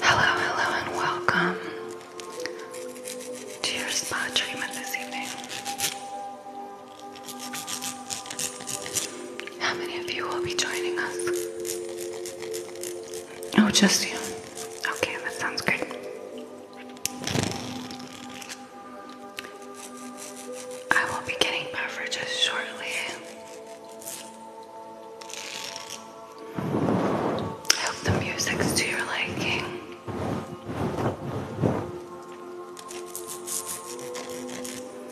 Hello, hello, and welcome to your spa treatment this evening. How many of you will be joining us? Oh, just you. Okay, that sounds good. I will be getting beverages shortly. I hope the music's to your liking.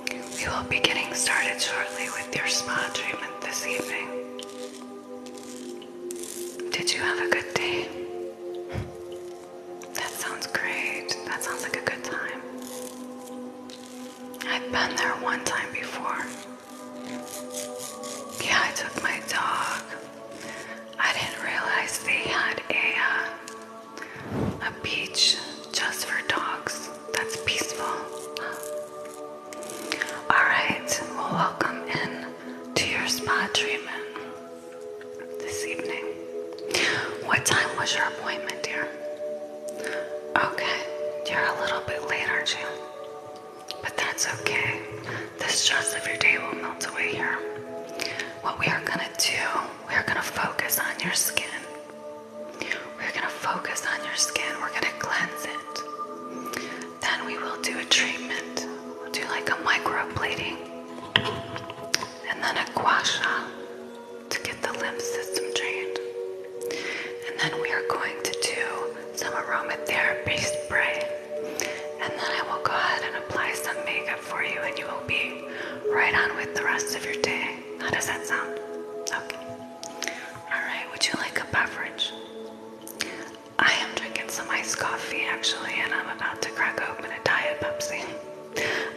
We will be getting started shortly with your spa treatment this evening. Did you have a good day? That sounds great. That sounds like a good time. I've been there one time before. Yeah, I took my dog. I didn't realize they had a uh, a beach just for dogs. That's peaceful. All right, well, welcome in to your spa treatment. This evening. What time was your appointment, dear? Okay, you're a little bit late, aren't you? But that's okay. The stress of your day will melt away here. What we are gonna do, we are gonna focus on your skin. We're gonna focus on your skin. We're gonna cleanse it. Then we will do a treatment. We'll do like a microblading and then a gua to get the lymph system drained. And then we are going to do some aromatherapy spray. And then I will go ahead and apply some makeup for you, and you will be right on with the rest of your day. How does that sound? Okay. Alright, would you like a beverage? I am drinking some iced coffee actually, and I'm about to crack open a Diet Pepsi.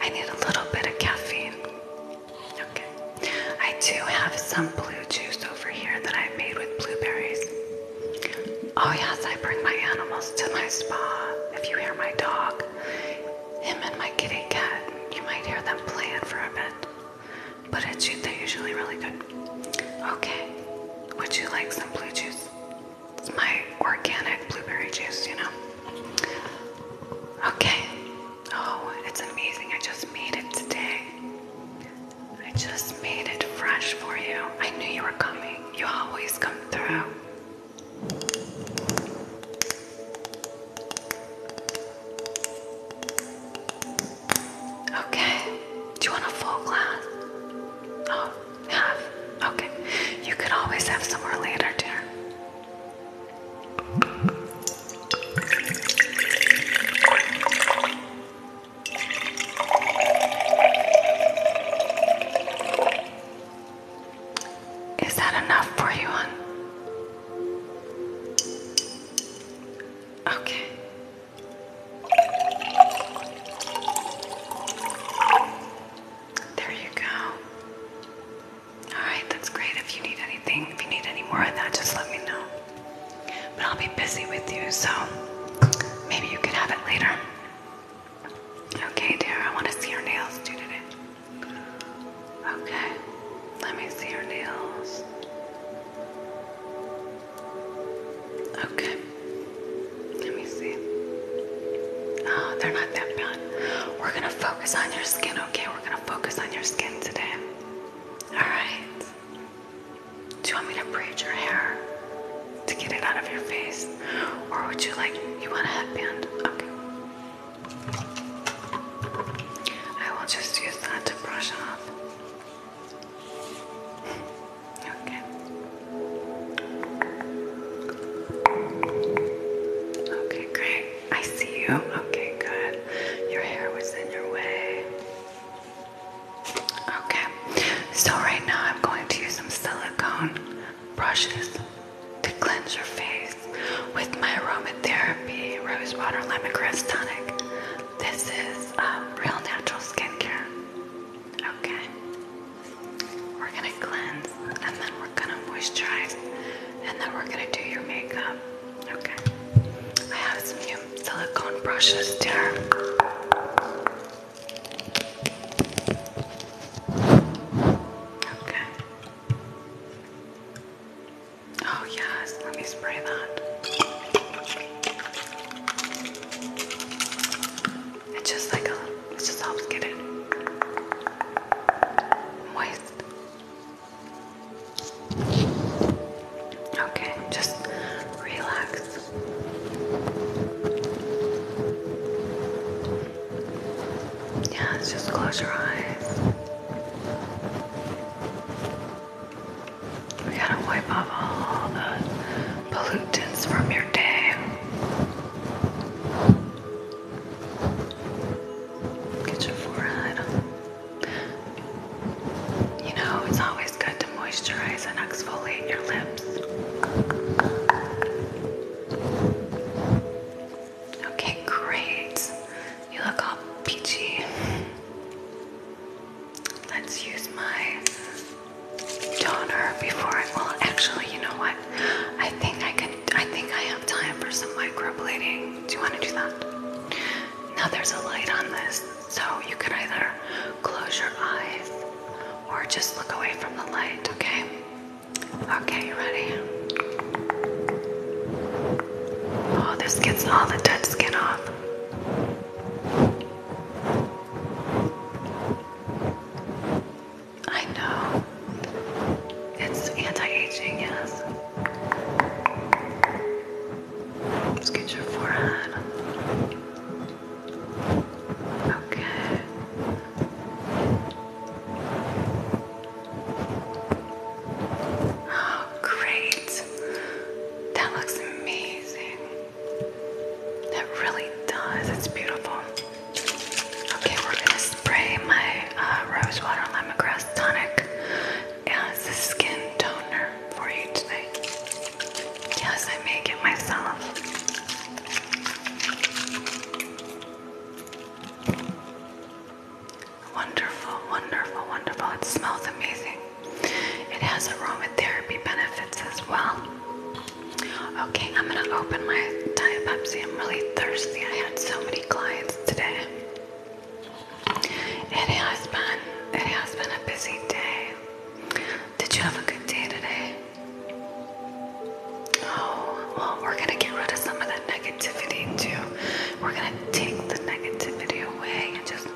I need a little bit of caffeine. Okay. I do have some blue juice over here that I made with blueberries. Oh, yes, I bring my animals to my spa. If you hear my dog, him and my kitty cat, you might hear them playing for a bit. But it's, they're usually really good. Okay. Would you like some blue juice? It's my organic blueberry juice, you know. Okay. Oh, it's amazing. I just made it today. I just made it fresh for you. I knew you were coming. You always come through. Okay. Do you want a full glass? Oh, Half. Okay. You could always have some more later, dear. Is that enough for you, hon? Okay. There you go. Alright, that's great. If you need anything, if you need any more of that, just let me know. But I'll be busy with you, so maybe you could have it later. Okay, dear, I want to see your nails today. Okay, let me see your nails. Okay. Let me see. Oh, they're not that bad. We're gonna focus on your skin, okay? We're gonna focus on your skin today. Alright. Do you want me to braid your hair to get it out of your face? Or would you like, you want a headband? Okay. I will just use that to brush off. Okay. Okay, great. I see you. Okay, good. Your hair was in your way. Okay, so right now I'm going to use some silicone brushes to cleanse your face with my aromatherapy rose water lemon grass tonic. This is a um, real natural skincare. Okay. We're gonna cleanse and then we're gonna moisturize and then we're gonna do your makeup. Okay. I have some silicone brushes there. Okay. Oh yes, let me spray that. It's just like a, uh, it just helps get it moist. Okay, just relax. Yeah, just close your eyes. We gotta wipe off all the pollutants from your day. Get your forehead. You know, it's always good to moisturize and exfoliate your lips. Okay, great. You look all peachy. Let's use my toner before I. Well, actually, you know what? I think I can. I think I have time for some microblading. Do you want to do that? Now there's a light on this, so you can either close your eyes or just look away from the light. Okay. Okay, you ready? Oh, this gets all the dead skin off. I know. It's anti-aging, yes. Let's get your forehead. Okay. Oh, great. That looks amazing. That really does. It's beautiful. Okay, we're gonna spray my uh, rose water lemongrass tonic as a skin toner for you today. Yes, I make it myself. Wonderful, wonderful, wonderful. It smells amazing. It has aromatherapy benefits as well. Okay, I'm gonna open my Diet Pepsi. I'm really thirsty. I had so many clients today. It has been it has been a busy day. Did you have a good day today? Oh, well, we're gonna get rid of some of that negativity too. We're gonna take the negativity away and just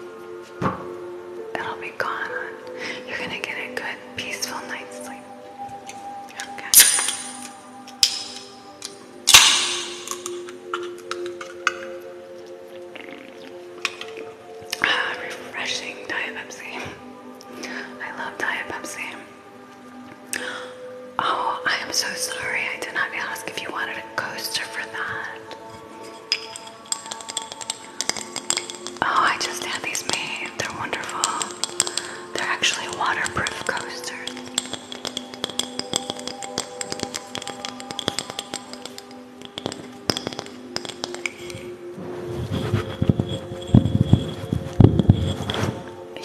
it'll be gone. You're gonna get a good, peaceful night's sleep. Okay. Ah, refreshing Diet Pepsi. I love Diet Pepsi. Oh, I am so sorry. I did not ask if you wanted a coaster for that. Oh, I just had these made. They're wonderful. They're actually waterproof coasters.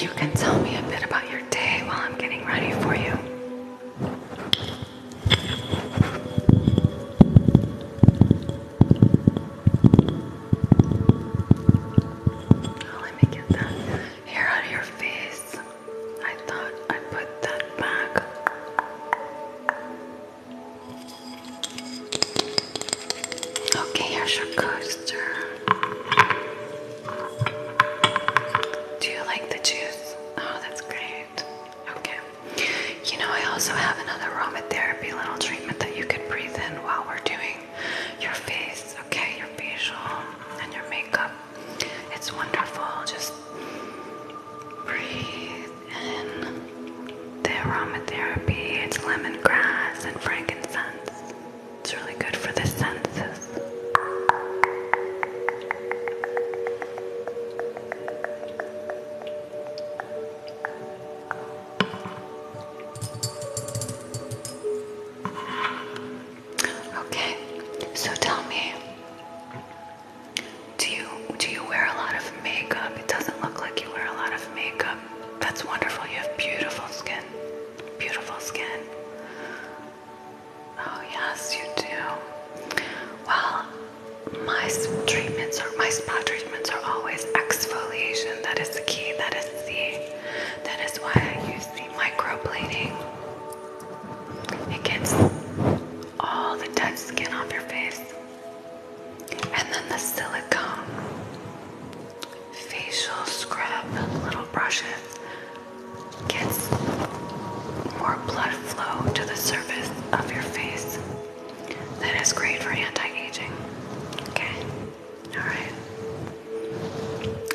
You can tell me a bit about your day while I'm getting ready for you. Oh, let me get that hair out of your face. I thought I put that back. Okay, here's your coaster. Do you like the juice? Oh, that's great. Okay. You know, I also have another aromatherapy little treatment that you could breathe in while we're doing your face, okay, your facial and your makeup. It's wonderful. Just breathe in the aromatherapy. It's lemongrass and frankincense. It's really good for the senses. Okay, so tell me, do you do you wear a lot of makeup? It doesn't look like you wear a lot of makeup. That's wonderful. You have beautiful skin. Beautiful skin. Oh yes, you do. Well, my treatments are my spa treatments are always exfoliation. That is the key. That is the that is why I use microblading. It gets all the dead skin off your face. And then the silicone facial scrub little brushes gets more blood flow to the surface of your face. That is great for anti-aging. Okay. Alright.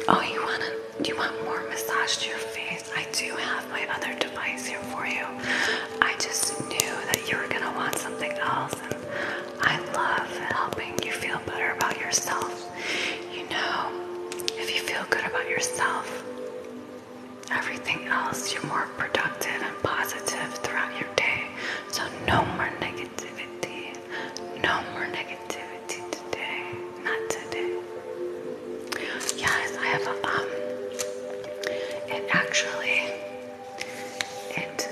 Oh, you wanna you want more massage to your face? I do have my other device here for you. I just knew that you were gonna want something else and I love helping you feel better about yourself. You know, if you feel good about yourself, everything else, you're more productive and positive throughout your day. So no more negative no more negativity today. Not today. Yes, I have a um it actually it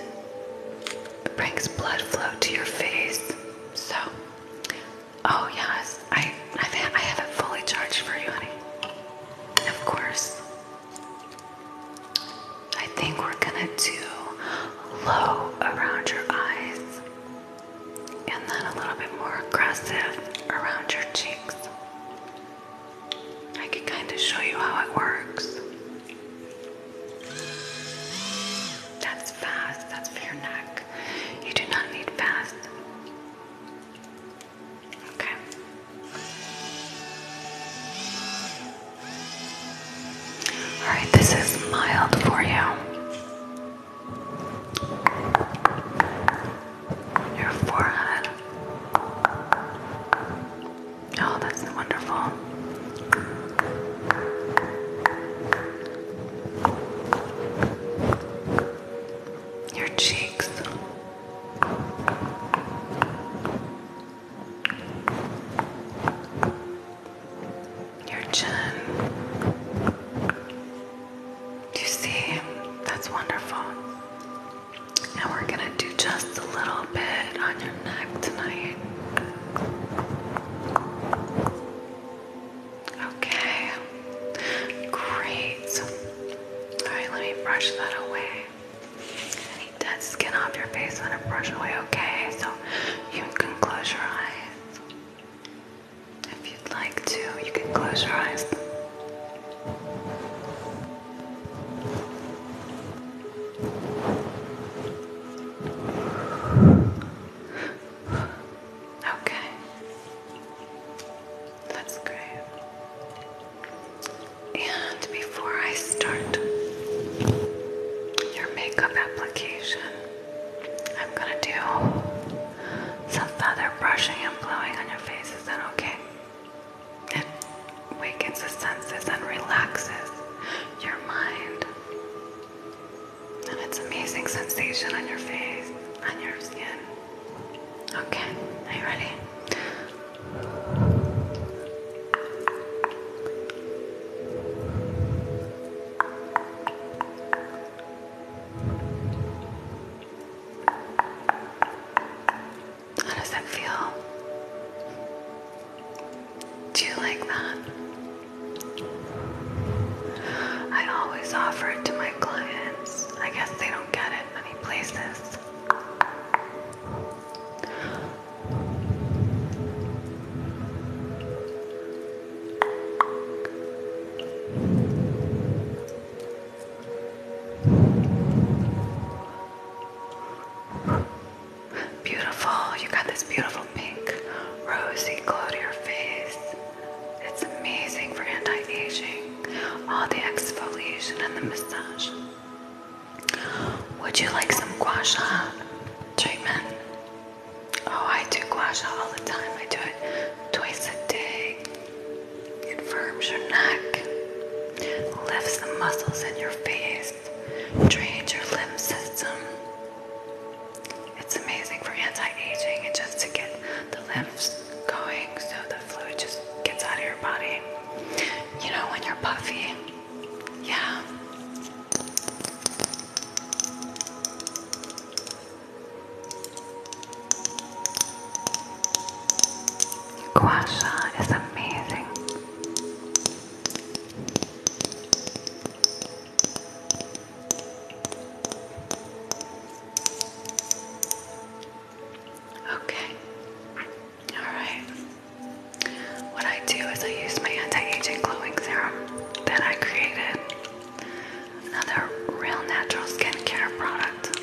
brings blood flow to your face. So oh yes, I I have it fully charged for you, honey. Of course. I think we're gonna do low around your eyes and then a little bit more aggressive around your cheeks. I can kind of show you how it works. That's fast, that's for your neck. You do not need fast. Okay. All right, this is mild for you. Your forehead. Oh, that's wonderful. Your cheeks. Your chin. you see? That's wonderful. And we're going to do just a little bit on your neck tonight. Okay. Great. All right, let me brush that away. Dead skin off your face and a brush away, okay? So you can close your eyes. If you'd like to, you can close your eyes. Okay. That's great. And before I start your makeup application, I'm gonna do some feather brushing and blowing on your face. Is that okay? It wakens the senses and relaxes your mind. And it's amazing sensation on your face, on your skin. Okay, are you ready? How does that feel? Do you like that? I always offer it to my clients. I guess they don't get it many places. Beautiful, you got this beautiful pink rosy glow to your face. It's amazing for anti aging, all the exfoliation and the massage. Would you like some gua sha treatment? Oh, I do gua sha all the time. I do it twice a day. It firms your neck, lifts the muscles in your face, drains your lymph system. It's amazing for anti-aging and just to get the lymphs going so the fluid just gets out of your body. You know, when you're puffy. Yeah. Guasha is amazing. Okay. Alright. What I do is I use my anti-aging glowing serum that I created. Another real natural skincare product.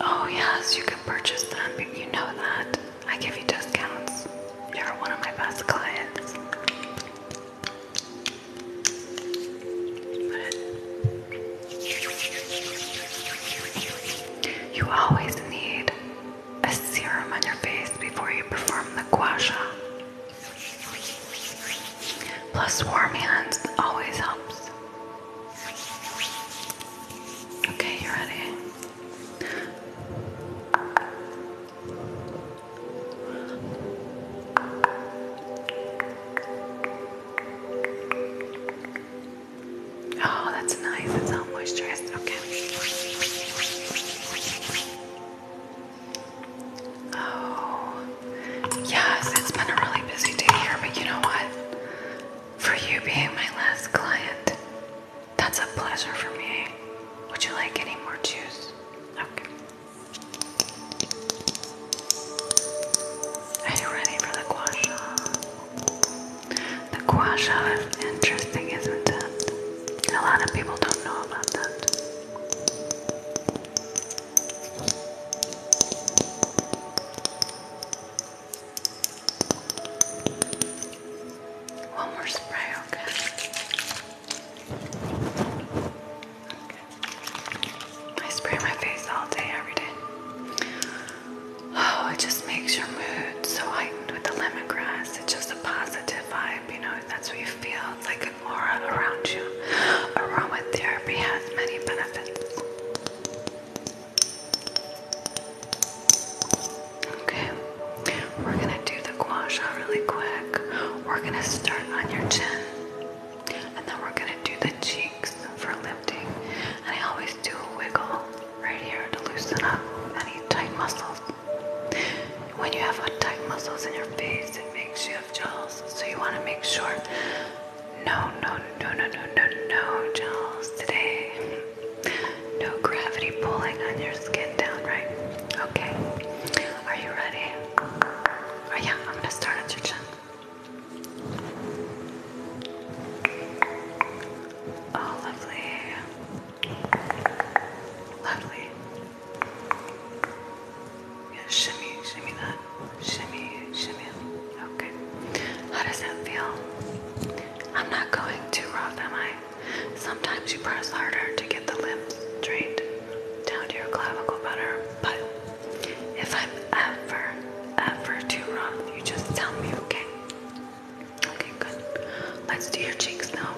Oh yes, you can purchase them, but you know that. I give you discounts. You're one of my best clients. you always need a serum on your face before you perform the guasha. Plus, warm hands always helps. Okay, you ready? Oh, that's nice. That's how moisturized. Okay. Oh, yes. It's been a really busy day here, but you know what? For you being my last client, that's a pleasure for me. Would you like any more juice? Okay. Are you ready for the gua sha? The gua is interesting, isn't it? A lot of people don't know about that. One more spray, Okay. I spray my face all day, every day. Oh, it just makes your mood so heightened with the lemongrass. It's just a positive vibe, you know, that's what you feel. It's like an aura around you. Aromatherapy has many benefits. Okay, we're gonna do the gua sha really quick. We're gonna start on your chin, and then we're gonna do the cheeks for lifting. And I always do a wiggle right here to loosen up any tight muscles. When you have tight muscles in your face, it makes you have jowls. So you want to make sure no, no, no, no, no, no, no jowls today. No gravity pulling on your skin down, right? Okay. Are you ready? Oh yeah, I'm gonna start at your chin. Oh, lovely. Lovely. shimmy, shimmy that. Shimmy, shimmy. Okay. How does that feel? I'm not going too rough, am I? Sometimes you press harder to get the limbs straight down to your clavicle better, but if I'm ever, ever too rough, you just tell me, okay? Okay, good. Let's do your cheeks now.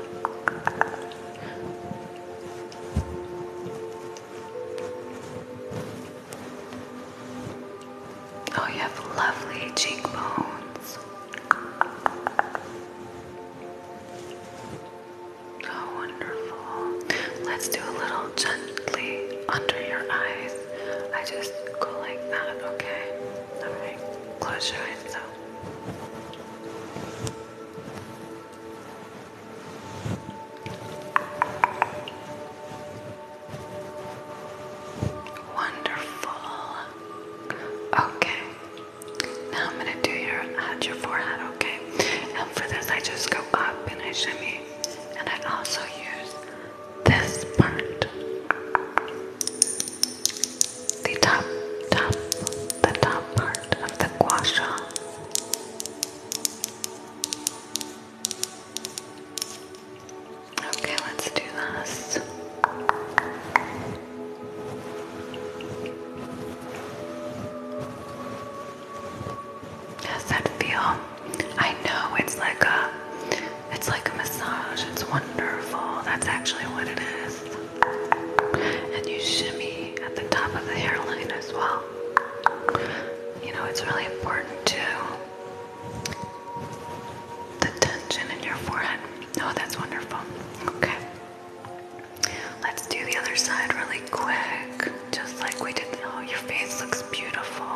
Oh, you have lovely cheekbones. Oh, wonderful. Let's do a little gently under your eyes. I just go like that, okay? close your eyes now. Wonderful. Okay. Now I'm gonna do your at your forehead, okay? And for this I just go up and I shimmy. And I also use this part. The top, top, the top part of the gua sha. Okay, let's do this. How's that feel? I know it's like a it's like a massage. It's wonderful. That's actually what it is. And you shimmy at the top of the hairline as well. You know, it's really important too. the tension in your forehead. Oh, that's wonderful. Okay. Let's do the other side really quick. Just like we did. Oh, your face looks beautiful.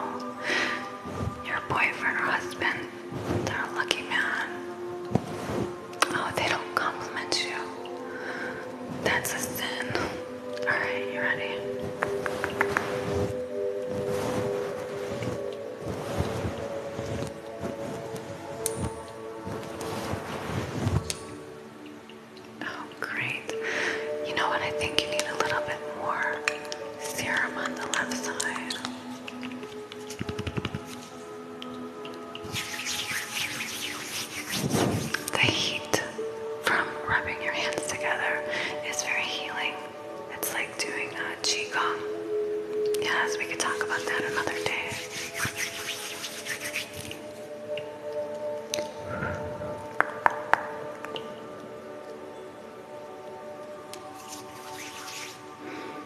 Your boyfriend or husband they're a lucky man. Oh, they don't compliment you. That's a sin. Alright, you ready? Oh, great. You know what? I think you need a little bit more serum on the left side. The heat from rubbing your hands together is very healing. It's like doing a qigong. Yes, we could talk about that another day.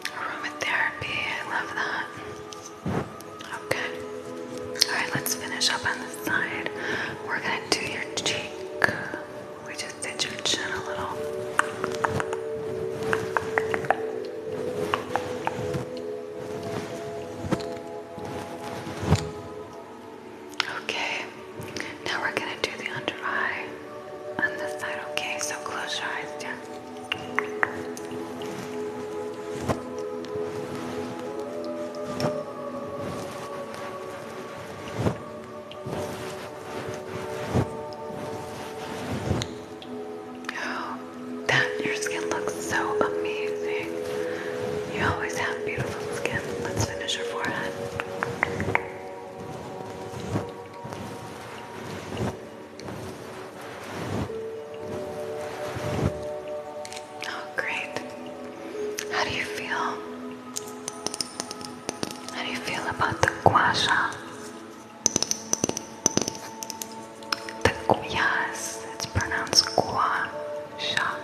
Aromatherapy, I love that. Okay. Alright, let's finish up on this side. We're gonna do your cheek. We just did your chin a little. Okay. Now we're gonna do the under eye on this side, okay? So close your eyes, yeah. Oh, that your skin looks so amazing. You always have beautiful skin. Let's finish your forehead. Oh, great. How do you feel? How do you feel about the gua sha? The yes, it's pronounced gua sha.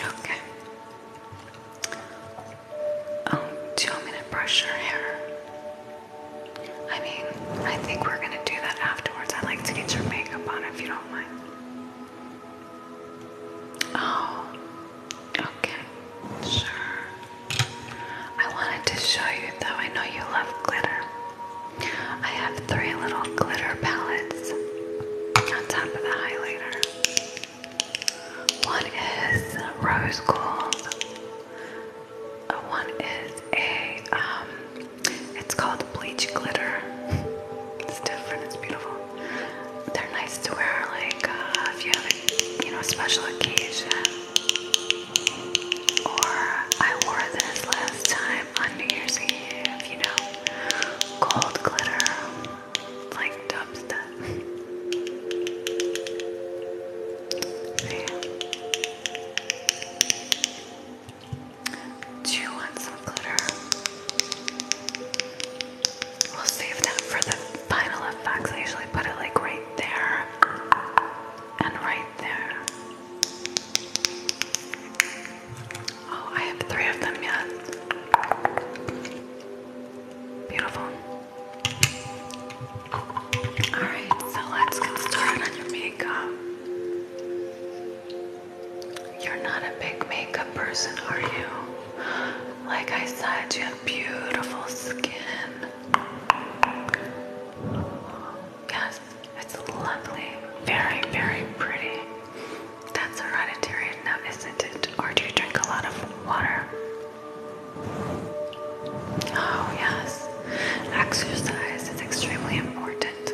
Okay. Um, do brush your hair? I mean, I think we're gonna do that afterwards. I'd like to get your makeup on if you don't mind. Oh, okay, sure. I wanted to show you, though I know you love glitter. I have three little glitter palettes on top of the highlighter. One is rose gold. One is a um, it's called bleach glitter. It's different. It's beautiful. They're nice to wear, like uh, if you have a you know special occasion. Or I wore this last time on New Year's Eve, you know, gold glitter, like dubstep. Do you want some glitter? We'll save that for the final effects. I usually put it like right there and right there. Oh, I have three of them yet. Beautiful. Alright, so let's get started on your makeup. You're not a big makeup person, are you? Like I said, you have beautiful skin. Yes, it's lovely, very, very pretty. That's hereditary now, isn't it? Or do you drink a lot of water? Oh, yes. Exercise is extremely important.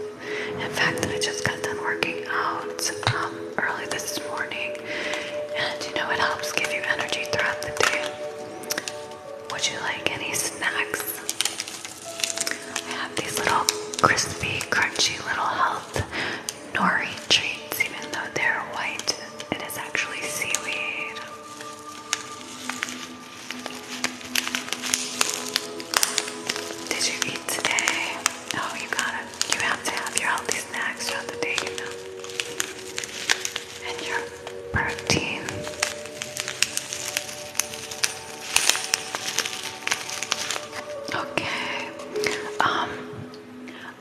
In fact, I just got done working out um, early this morning, and you know, it helps give you energy throughout the day. Would you like any snacks? I have these little crispy, crunchy little health nori treats, even though they're white, it is actually seaweed. Did you eat today? Oh, you gotta, you have to have your healthy snacks throughout the day, you know. And your protein. Okay. Um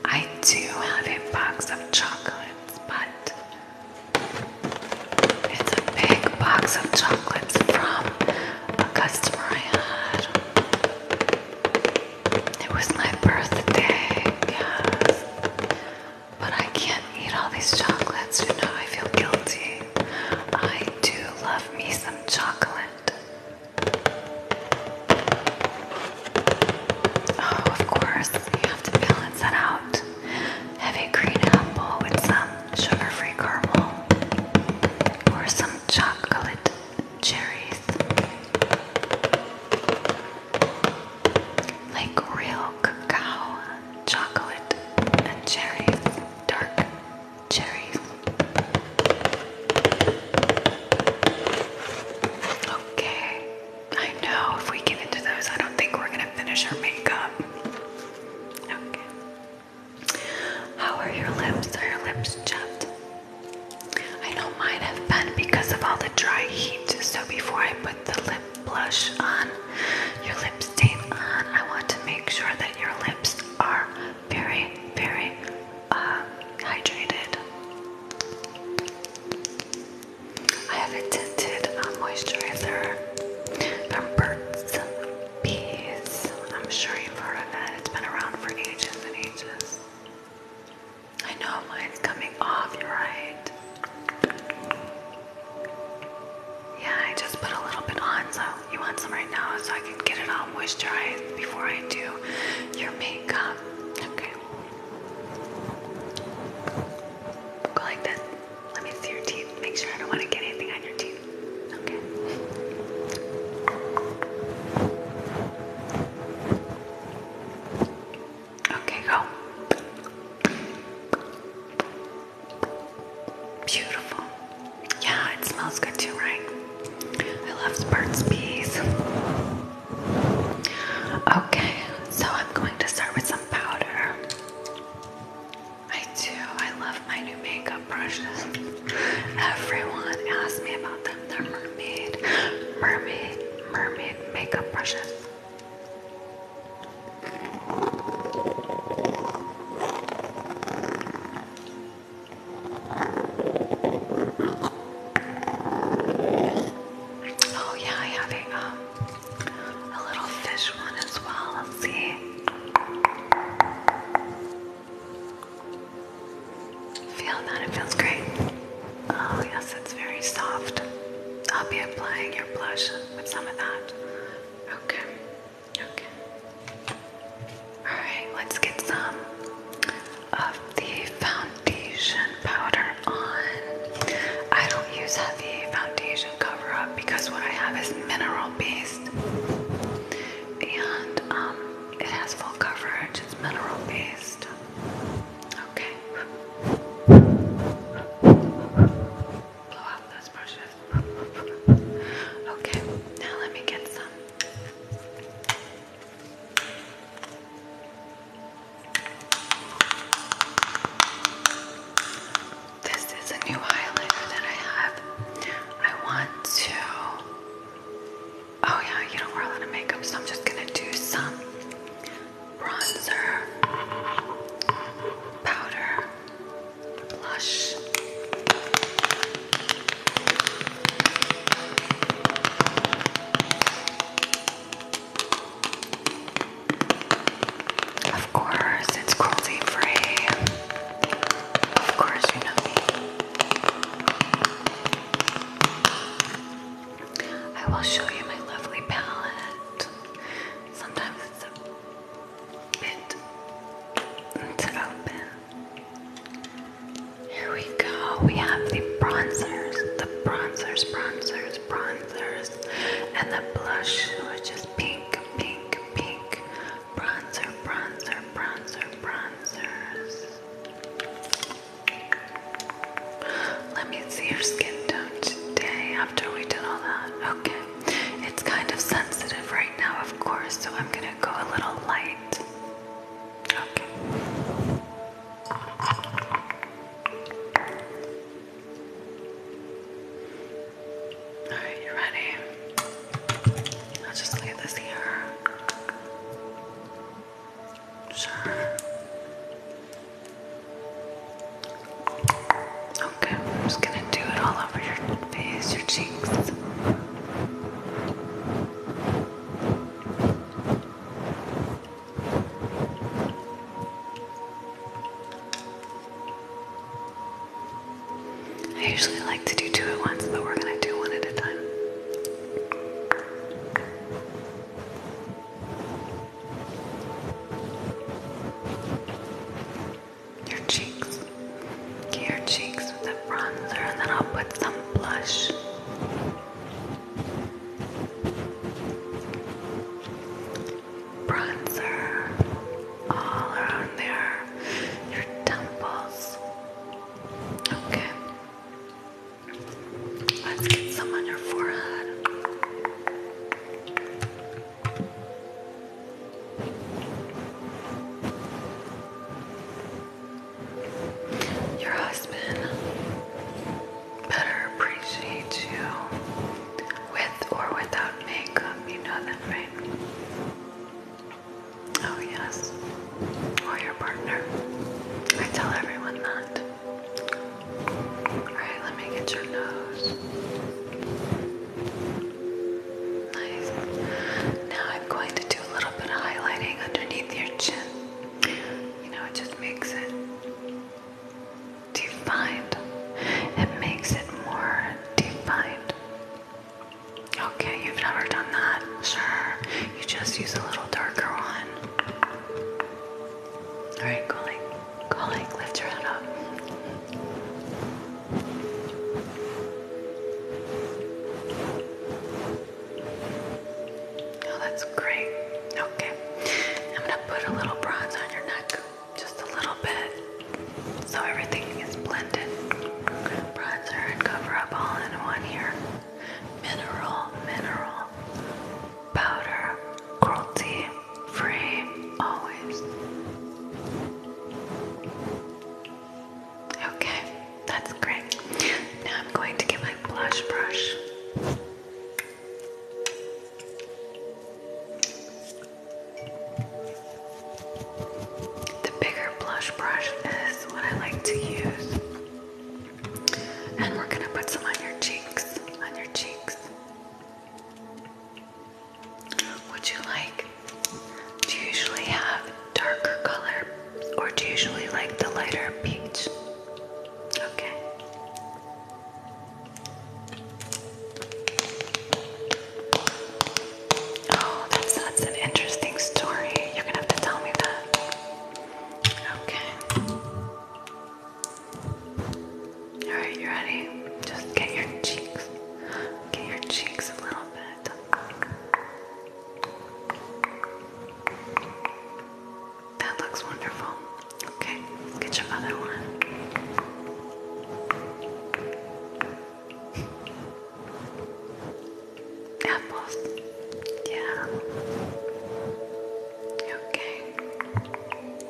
I do have a box of chocolates, but it's a big box of chocolates from a customer I had. It was my birthday, but I can't eat all these chocolates, you know, I feel guilty. I do love me some chocolate. Oh, of course, you have to balance that out. Heavy green apple with some sugar free caramel or some chocolate cherries. Like real cacao chocolate, and cherries, dark cherries. Okay, I know if we get into those, I don't think we're gonna finish our makeup. How are your lips? Are your lips chapped? I know mine have been because of all the dry heat, so before I put the lip blush on, your lip on. I want to make sure that your lips are very, very uh, hydrated. I have a tinted uh, moisturizer Burt's Bees. I'm sure you've heard of that. It's been around for ages and ages. I know mine's coming off, you're right. Yeah, I just put a little bit on, so you want some right now so I can get it all moisturized before I do your makeup. Okay. Go like this. Let me see your teeth. Make sure I don't want to get anything on your teeth. Okay. Okay, go. Beautiful. Yeah, it smells good too, right? I love Burt's Bees. Okay, so I'm going to start with some powder. I do. I love my new makeup brushes. Everyone asks me about them. They're mermaid, mermaid, mermaid makeup brushes. Oh yeah, I have a um, a little fish one as well. Let's see. Feel that it feels great. Oh yes, it's very soft. I'll be applying your blush with some of that. Okay. Okay. Alright, let's get some of the foundation powder on. I don't use heavy foundation cover up because what I have is mineral based. And um it has full coverage, it's mineral based. Okay blow out those brushes. okay, now let me get some. This is a new highlighter that I have. I want to. Oh, yeah, you don't wear a lot of makeup, so I'm just gonna do some bronzer, powder, blush. Of course, it's cruelty free. Of course, you know I will show you my lovely palette. Sometimes here we go. We have the bronzers, the bronzers, bronzers, bronzers, and the blush, which is pink, pink, pink. Bronzer, bronzer, bronzer, bronzers. Let me see your skin tone today after we did all that. Okay. It's kind of sensitive right now, of course, so I'm gonna go a little light. Okay. Alright, you ready? I'll just lay this here. Sure. Okay, I'm just gonna do it all over your face, your cheeks. I usually like to do two at once, but we're gonna do one at a time. Your cheeks. Get your cheeks with the bronzer and then I'll put some blush. Bronzer all around there. Your temples. Okay. Let's get some on your forehead. Your husband better appreciate you with or without makeup, you know that, right? Oh, yes. Or your partner. I tell everyone that. Alright, let me get your nose. Nice. Now I'm going to do a little bit of highlighting underneath your chin. You know, it just makes it defined. It makes it more defined. Okay, you've never done that. Sure. You just use a little darker one. Alright, cool. Calling, lift your head up. Oh, that's great. Okay. I'm going to put a little bronze on your neck. Just a little bit. So everything is blended. Bronzer and cover up all in one here. Mineral, mineral powder, cruelty free, always. Okay, that's great. Now I'm going to get my blush brush. The bigger blush brush is what I like to use. And we're going to put some on your cheeks, on your cheeks. Would you like, do you usually have darker color or do you usually like the lighter peach? Okay. Oh, that's, that's an interesting story. You're gonna have to tell me that. Okay. Alright, you ready? Just get your cheeks. Get your cheeks a little bit. That looks wonderful. Okay, get your other one. Apples. Yeah. Okay.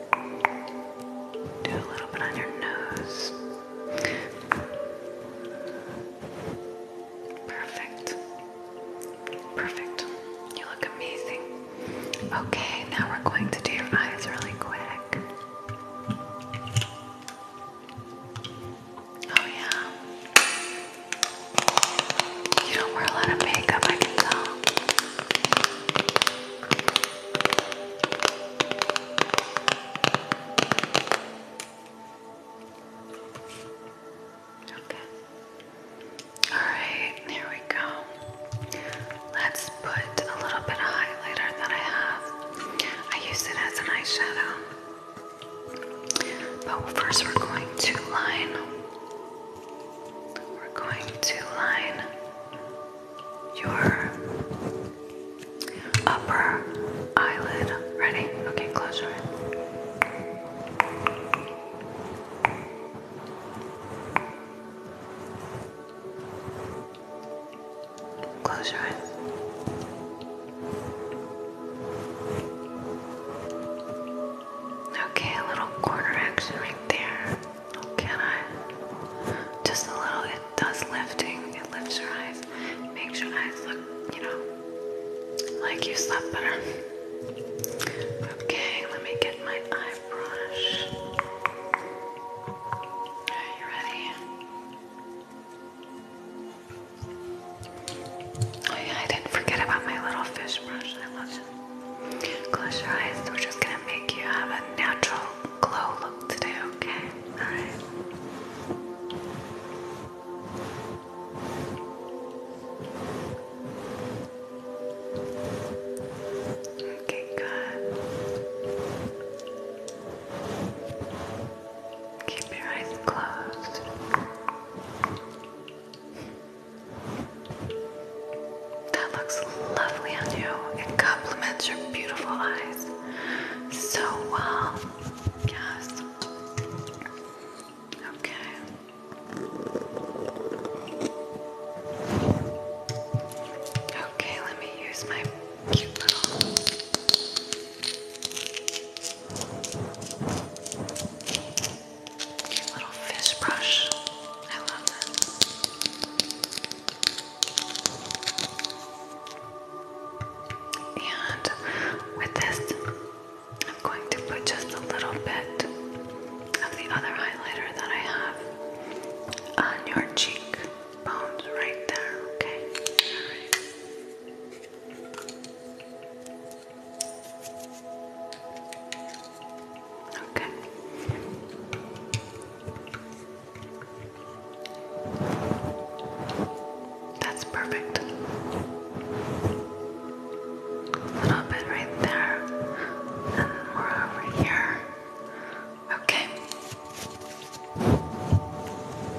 Do a little bit on your nose. Perfect. Perfect. You look amazing. Okay, now we're going to do your eyes really quick. Oh, yeah. You don't wear a lot of makeup, I can Okay. All right, here we go. Let's put a little bit of highlighter that I have. I use it as an eyeshadow. But first, we're going to line we're going to line your upper eyelid. Ready? Okay, close your eyes. Close your eyes. Okay, a little corner action right there. Can I? Just a little. It does lifting. It lifts your eyes. Makes your eyes look, you know, like you slept better. Okay, let me get my eye brush. Are you ready? Oh, I didn't forget about my little fish brush. I love it. Close your eyes. We're just going to make you have a natural glow look today, okay? Alright. Okay, good. Keep your eyes closed. That looks lovely on you. It complements your beautiful eyes so well. Um, yes. Okay. Okay, let me use my cute little Cute little fish brush. I love that. And with this, I'm going to put just a little bit of the other highlighter that I have on your cheek right there, okay? Alright. Okay. That's perfect. A little bit right there, and more over here. Okay.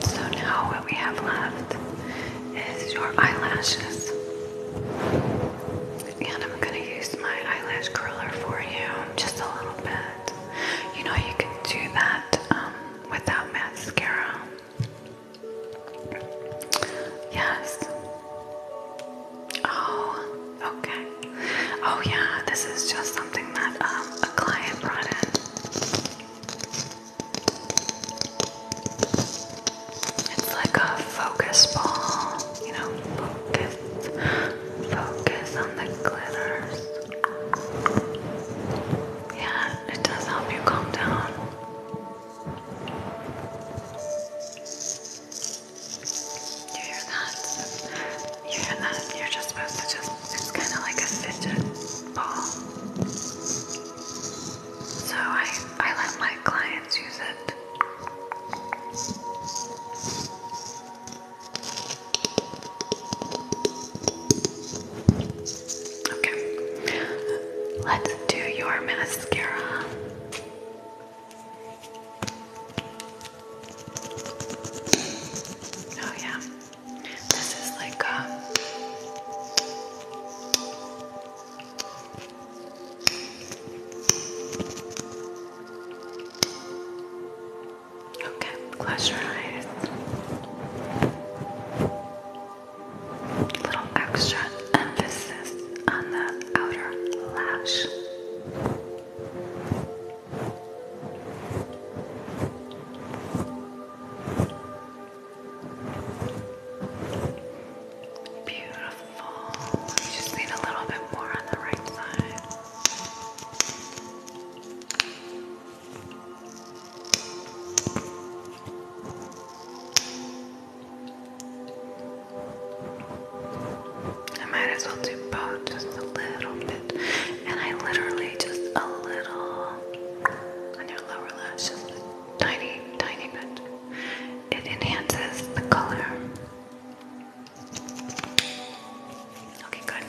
So now what we have left is your eyelashes. And I'm gonna use my eyelash curler for you, just a little bit. You know you can do that um, without mascara. Yes. Oh, okay. Oh yeah, this is just something that um, a client brought in. It's like a focus ball, you know, focus Focus on the glitters. Yeah, it does help you calm down. You hear that? You hear that? You're just supposed to just, it's kind of like a fidget ball. So I, I let my clients use it. Okay, let's do your mascara. Oh, yeah, this is like um, Okay, close your eyes. Little extra emphasis on the outer lash. Beautiful full. just need a little bit more on the right side. I might as well do both just a little bit. And I literally just a little on your lower lash, just a tiny, tiny bit. It enhances the color. Okay, good.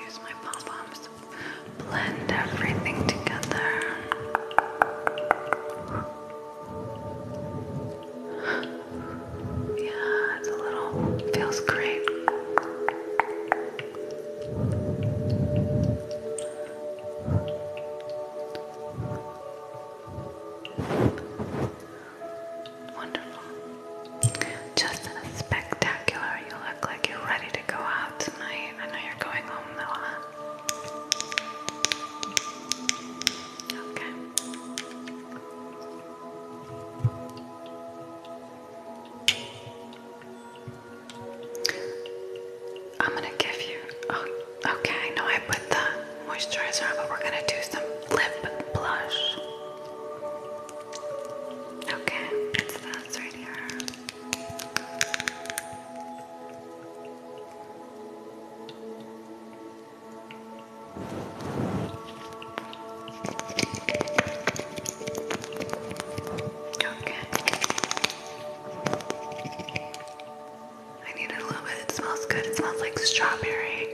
Use my pom poms blend everything together. Yeah, it's a little, feels great. Wonderful. Just a spectacular. You look like you're ready to go out tonight. I know you're going home though, huh? Okay. I'm gonna give you. Oh, okay. I know I put the moisturizer on, but we're gonna do some lip blush. Okay, it's this right here. Okay. I need it a little bit. It smells good. It smells like strawberry.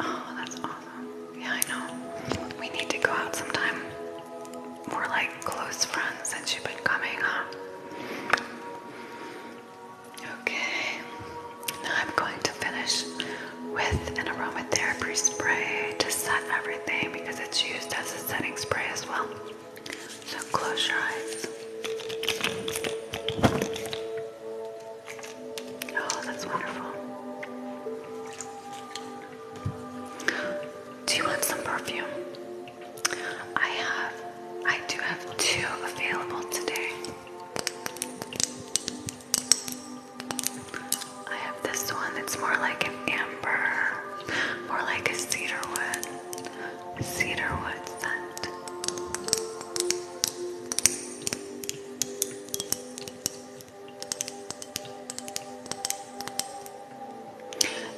Oh, that's awesome. Yeah, I know. We need to go out sometime. We're like close friends since you've been coming, huh? Okay, now I'm going to finish with an aromatherapy spray to set everything because it's used as a setting spray as well. So close your eyes. Oh, that's wonderful. Do you want some perfume? I have, I do have two available today. I have this one that's more like an amber, more like a cedar wood, cedar wood scent.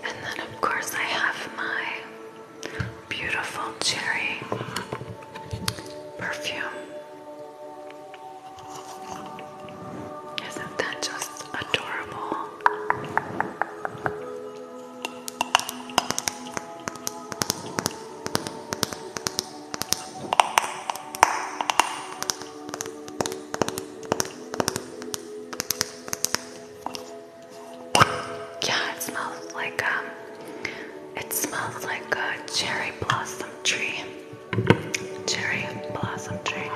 And then, of course, I have my Beautiful cherry perfume. Isn't that just adorable? Yeah, it smells like um it smells like a cherry blossom tree. Cherry blossom tree.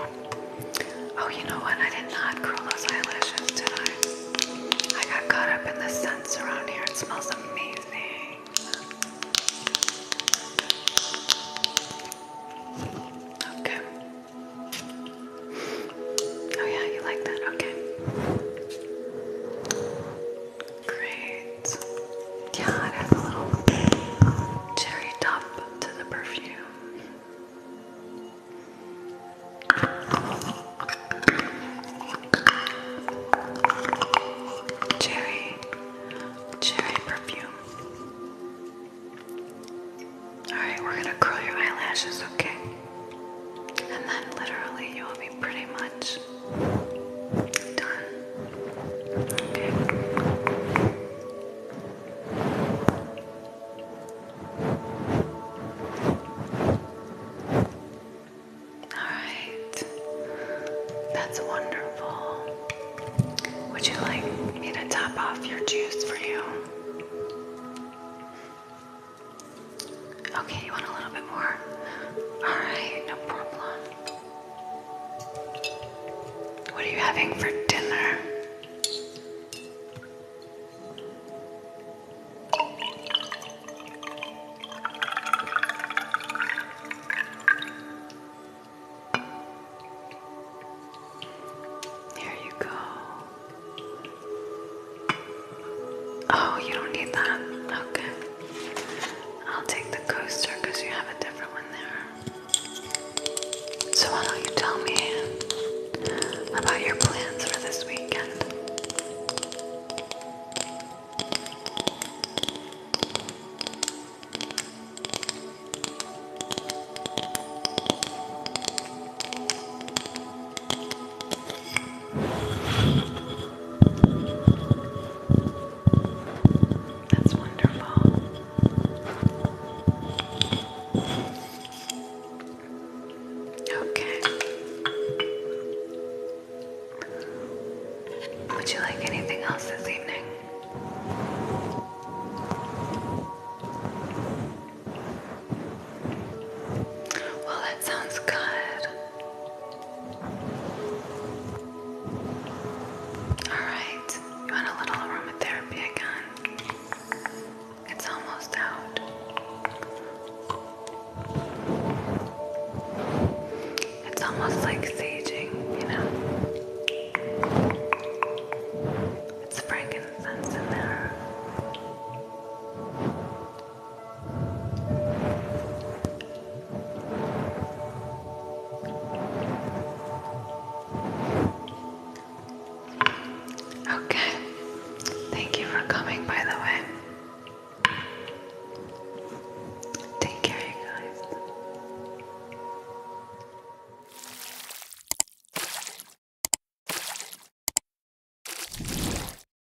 Oh, you know what? I did not curl those eyelashes, tonight. I? I got caught up in the scents around here. It smells amazing. Okay. Oh, yeah, you like that? Okay. Great. Yeah, I'd a little cherry top to the perfume. Cherry, cherry perfume. Alright, we're gonna curl your eyelashes, okay? And then literally you will be pretty much Alright. That's wonderful. Would you like me to top off your juice for you? Okay, you want a little bit more? Alright, no problem. What are you having for dinner? There you go. Oh, you don't need that. Okay. I'll take the coaster because you have a different one there. So, why don't you tell me about your plans for this weekend? That's wonderful. Okay. Would you like anything else this evening? Well, that sounds good. Alright, you want a little aromatherapy again? It's almost out. It's almost like saging, you know? It's frankincense in there. Okay. Thank you for coming, by the way. Take care, you guys.